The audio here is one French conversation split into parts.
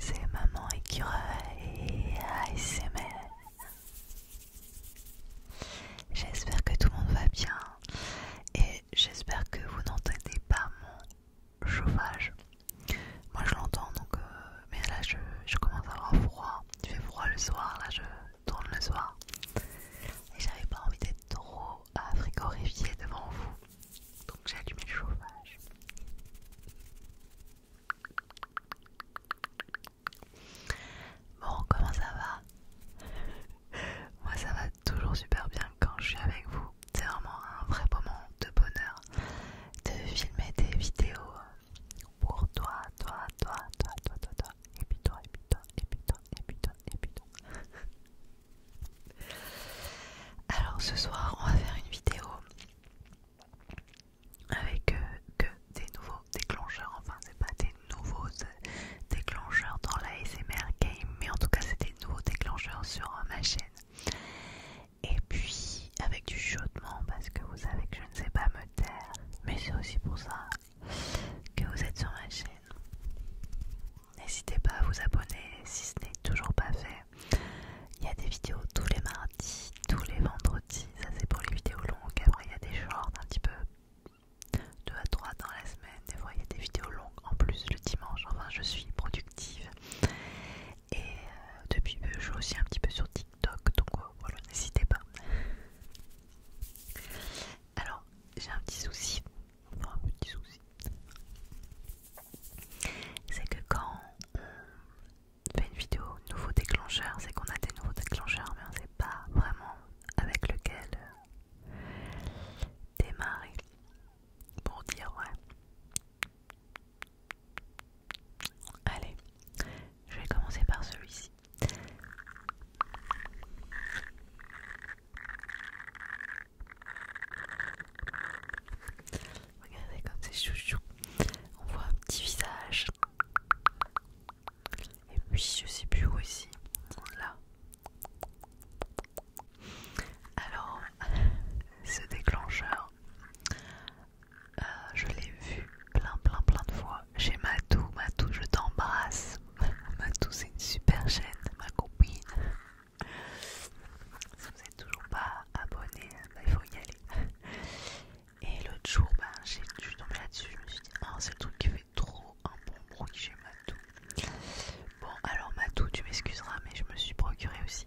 C'est maman écureuil ASMR J'espère que tout le monde va bien et j'espère que vous n'entendez pas mon chauffage. Moi je l'entends donc, euh, mais là je, commence à avoir froid. Il fait froid le soir, là je tourne le soir. Et j'avais pas envie d'être trop à euh, devant vous. Donc j'ai allumé le chauffage. Bon, comment ça va Moi ça va toujours super bien quand je suis avec vous. C'est vraiment un vrai moment de bonheur de filmer des vidéos pour toi, toi, toi, toi, toi, toi, toi, et puis toi, et puis toi, et puis toi, et puis toi, et puis toi. Alors ce soir, on va faire une vidéo avec euh, que des nouveaux déclencheurs. Enfin, c'est pas des nouveaux euh, déclencheurs dans la SMR game, mais en tout cas, c'est des nouveaux déclencheurs sur ma chaîne et puis avec du chaudement parce que vous savez que je ne sais pas me taire, mais c'est aussi pour ça que vous êtes sur ma chaîne. N'hésitez pas à vous abonner si ce n'est toujours pas fait. Il y a des vidéos tous les mardis, tous les vendredis, ça c'est pour les vidéos longues. Après il y a des shorts un petit peu 2 à 3 dans la semaine, des fois il y a des vidéos longues en plus le dimanche. Enfin je suis productive et euh, depuis euh, je joue aussi un petit peu sur TikTok, donc euh, voilà, n'hésitez pas. Alors, j'ai un petit souci, un petit souci, c'est que quand on fait une vidéo nouveau déclencheur, c'est qu'on a des nouveaux déclencheurs, mais on ne sait pas vraiment avec lequel démarrer pour dire ouais. Allez, je vais commencer par celui-ci. Regardez comme c'est chouchou. On voit un petit visage. Et puis je sais plus où ici. Là. Alors ce déclencheur, euh, je l'ai vu plein plein plein de fois chez Matou. Matou, je t'embrasse. Matou, c'est une super chaîne, ma copine. Si vous n'êtes toujours pas abonné, bah, il faut y aller. Et l'autre jour, bah, j'ai je suis là-dessus, je me suis dit, oh, c'est le truc qui fait trop un bon bruit chez Matou. Bon, alors Matou, tu m'excuseras, mais je me suis procuré aussi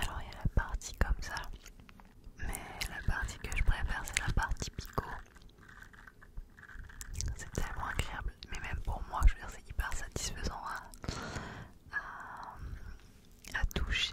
Alors il y a la partie comme ça, mais la partie que je préfère c'est la partie PICO. C'est tellement agréable, mais même pour moi, je veux dire, c'est hyper satisfaisant à toucher.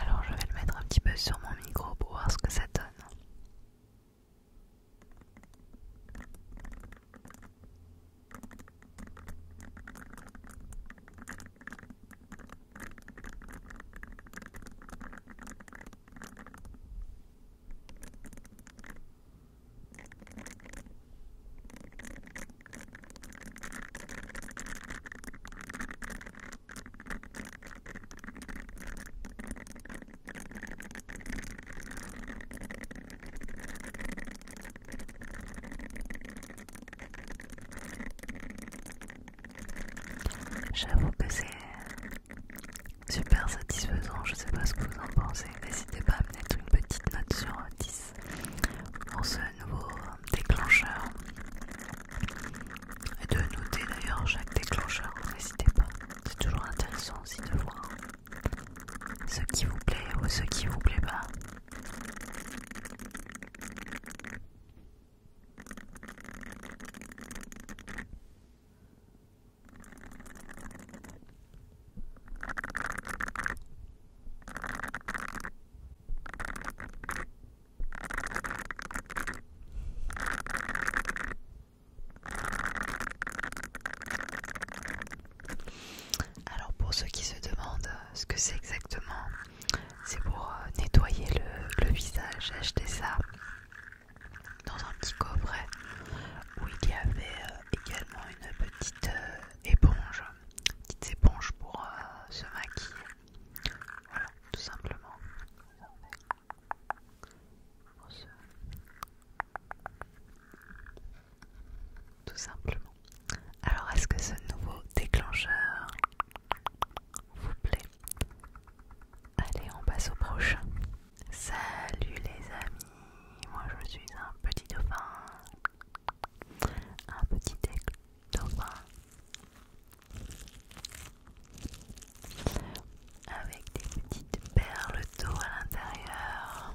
Alors je vais le mettre un petit peu sur mon micro pour voir ce que ça donne. J'avoue que c'est super satisfaisant, je sais pas ce que vous en pensez, n'hésitez pas à me mettre une petite note sur 10 pour ce nouveau déclencheur et de noter d'ailleurs chaque déclencheur, n'hésitez pas. C'est toujours intéressant aussi de voir ce qui vous plaît ou ce qui vous plaît pas. Alors pour ceux qui se demandent euh, ce que c'est exactement, c'est pour euh, nettoyer le, visage. J'ai acheté ça dans un petit coffret où il y avait euh, également une petite éponge, petite éponge pour se maquiller tout simplement. Tout simplement. Alors, est-ce que ce nouveau déclencheur vous plaît Allez, on passe au prochain. Salut les amis, moi je suis un petit dauphin. Un petit dauphin avec des petites perles d'eau à l'intérieur.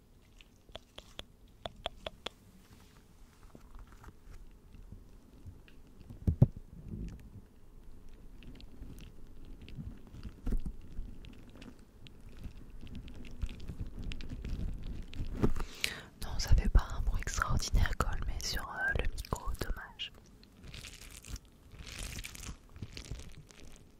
Non, ça fait pas un bruit extraordinaire comme mais sur euh, le micro, dommage.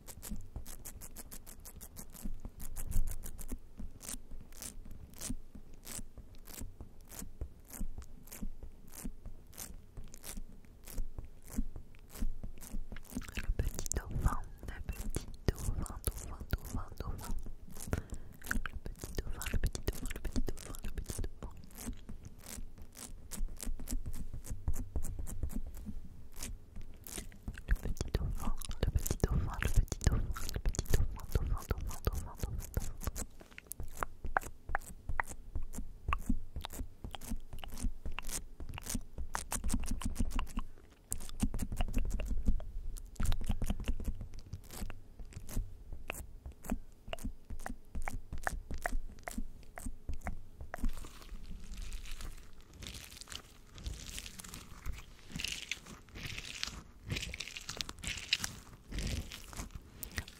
Le petit dauphin, le petit dauphin, dauphin, dauphin, dauphin. Le petit dauphin, le petit dauphin, le petit dauphin, le petit dauphin. Le petit dauphin, le petit dauphin, le petit dauphin, le petit dauphin, dauphin, dauphin, dauphin,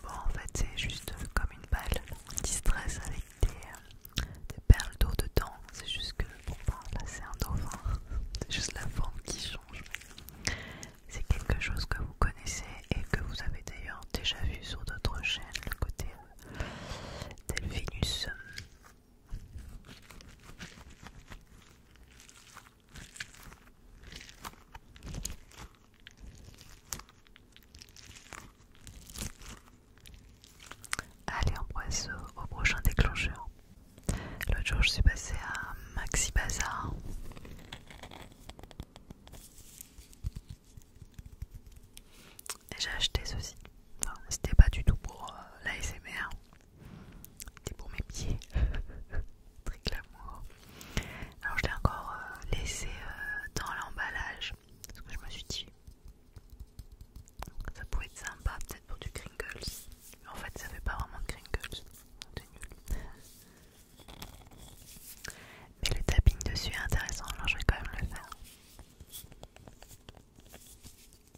Bon, en fait, c'est juste comme une balle distress avec euh, des, perles d'eau dedans. C'est juste que, pour ben, là, c'est un dauphin. C'est juste la forme qui change. C'est quelque chose que vous connaissez et que vous avez d'ailleurs déjà vu sur d'autres chaînes, le côté de euh, Delphinus. Euh, Allez, on passe au prochain déclencheur. L'autre jour, je suis passée à Maxi Bazar j'ai acheté ceci. c'était pas du tout pour la euh, l'ASMR, c'était pour mes pieds, très glamour. Alors je l'ai encore euh, laissé euh, dans l'emballage parce que je me suis dit ça pouvait être sympa, peut-être pour du Kringles. Mais en fait, ça fait pas vraiment de Kringles, Mais le tapping dessus est intéressant, alors je vais quand même le faire.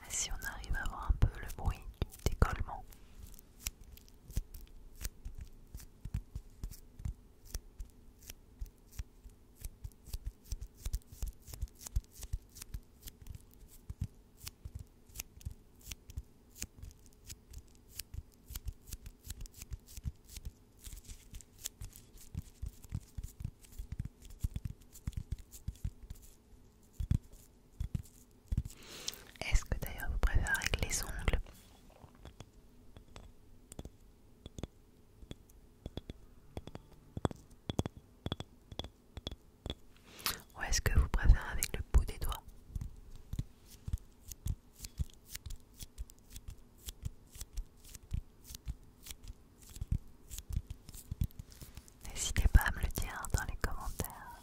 Ah, si on arrive à avoir un peu le bruit du décollement. Est-ce que d'ailleurs vous préférez avec les ongles ou est-ce que vous préférez avec le bout des doigts N'hésitez pas à me le dire dans les commentaires.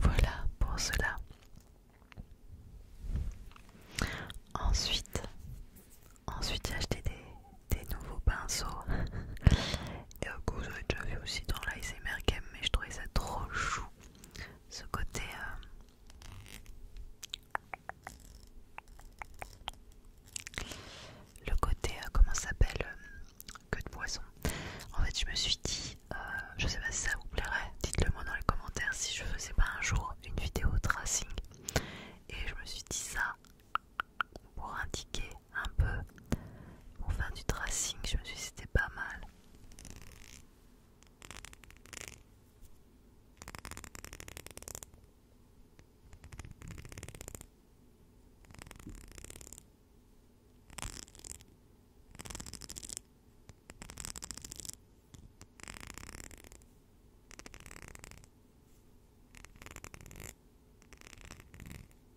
Voilà pour cela. Ensuite, ensuite j'ai acheté des, des nouveaux pinceaux Et vous avez déjà vu aussi dans mer Game, mais je trouvais ça trop chou. Ce côté. Euh, le côté, euh, comment ça s'appelle euh, queue Que de poisson. En fait, je me suis dit, je sais pas si ça vous plairait, dites-le moi dans les commentaires si je faisais pas un jour une vidéo tracing. Et je me suis dit, ça, pour indiquer un peu, pour faire du tracing, je me suis dit c'était pas mal.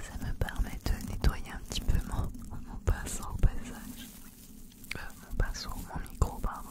Ça me permet de nettoyer un petit peu mon, mon pinceau au passage. Euh, mon pinceau, mon micro, pardon.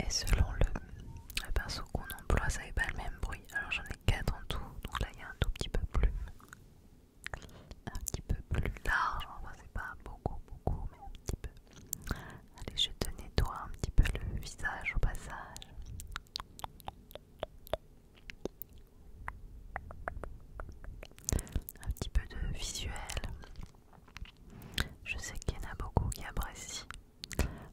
Et selon le, pinceau qu'on emploie, ça n'est pas le même bruit. Alors j'en ai 4 en tout, donc là il y a un tout petit peu plus. Un petit peu plus large, enfin c'est pas beaucoup, beaucoup, mais un petit peu. Allez, je te nettoie un petit peu le visage au passage un petit peu de visuel. Je sais qu'il y en a beaucoup qui apprécient.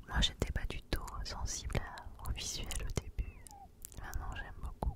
Moi, j'étais pas du tout sensible au visuel au début. Maintenant, j'aime beaucoup.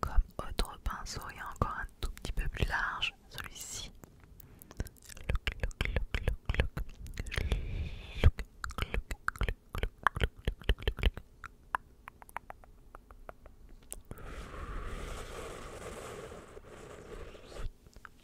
Comme autre pinceau, il y a encore un tout petit peu plus large, celui-ci.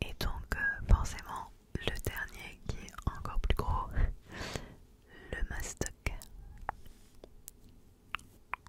Et donc euh, forcément le dernier qui est encore plus gros, le mastoc.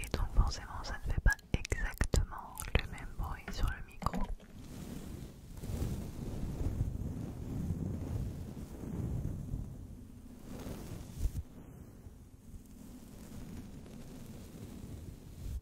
Et donc forcément ça ne fait pas exactement le même bruit sur le micro.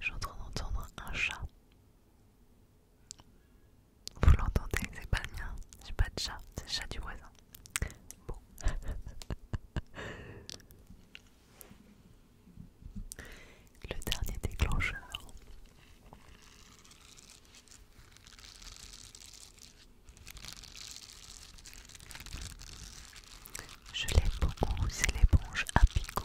Je suis en train d'entendre un chat. Vous l'entendez, c'est pas le mien. J'ai pas de chat, c'est le chat du voisin. Bon. le dernier déclencheur. Je l'ai beaucoup, c'est l'éponge à picot.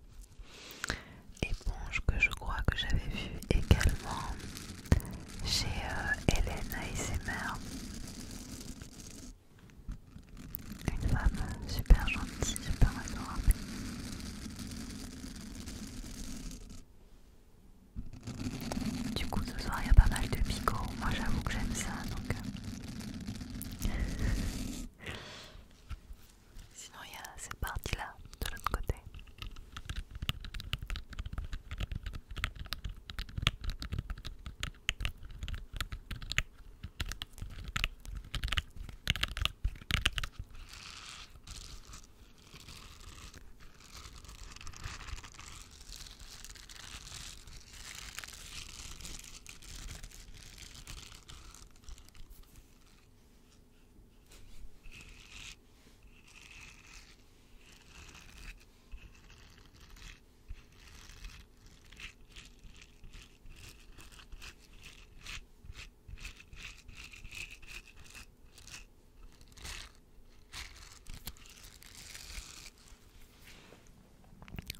éponge que je crois que j'avais vu également chez euh, Hélène ASMR une femme super gentille, super adorable du coup ce soir il y a pas mal de picots, moi j'avoue que j'aime ça donc euh. Sinon, il y a cette partie-là de l'autre côté.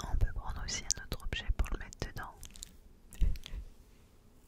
On peut prendre aussi un autre objet pour le mettre dedans.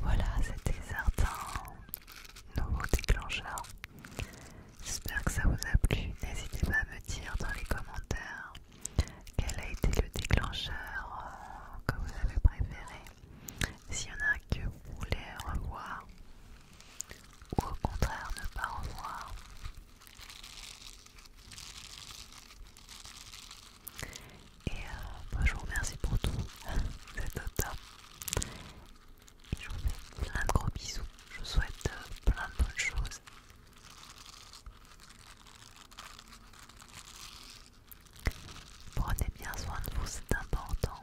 Voilà, c'était certains nouveau déclencheurs. J'espère que ça vous a plu. N'hésitez pas à me dire dans les commentaires quel a été le déclencheur euh, que vous avez préféré. S'il y en a que vous voulez revoir ou au contraire ne pas revoir. Et euh, je vous remercie pour tout, le je vous fais plein de gros bisous, je vous souhaite euh, plein de bonnes choses. Prenez bien soin de vous, c'est important.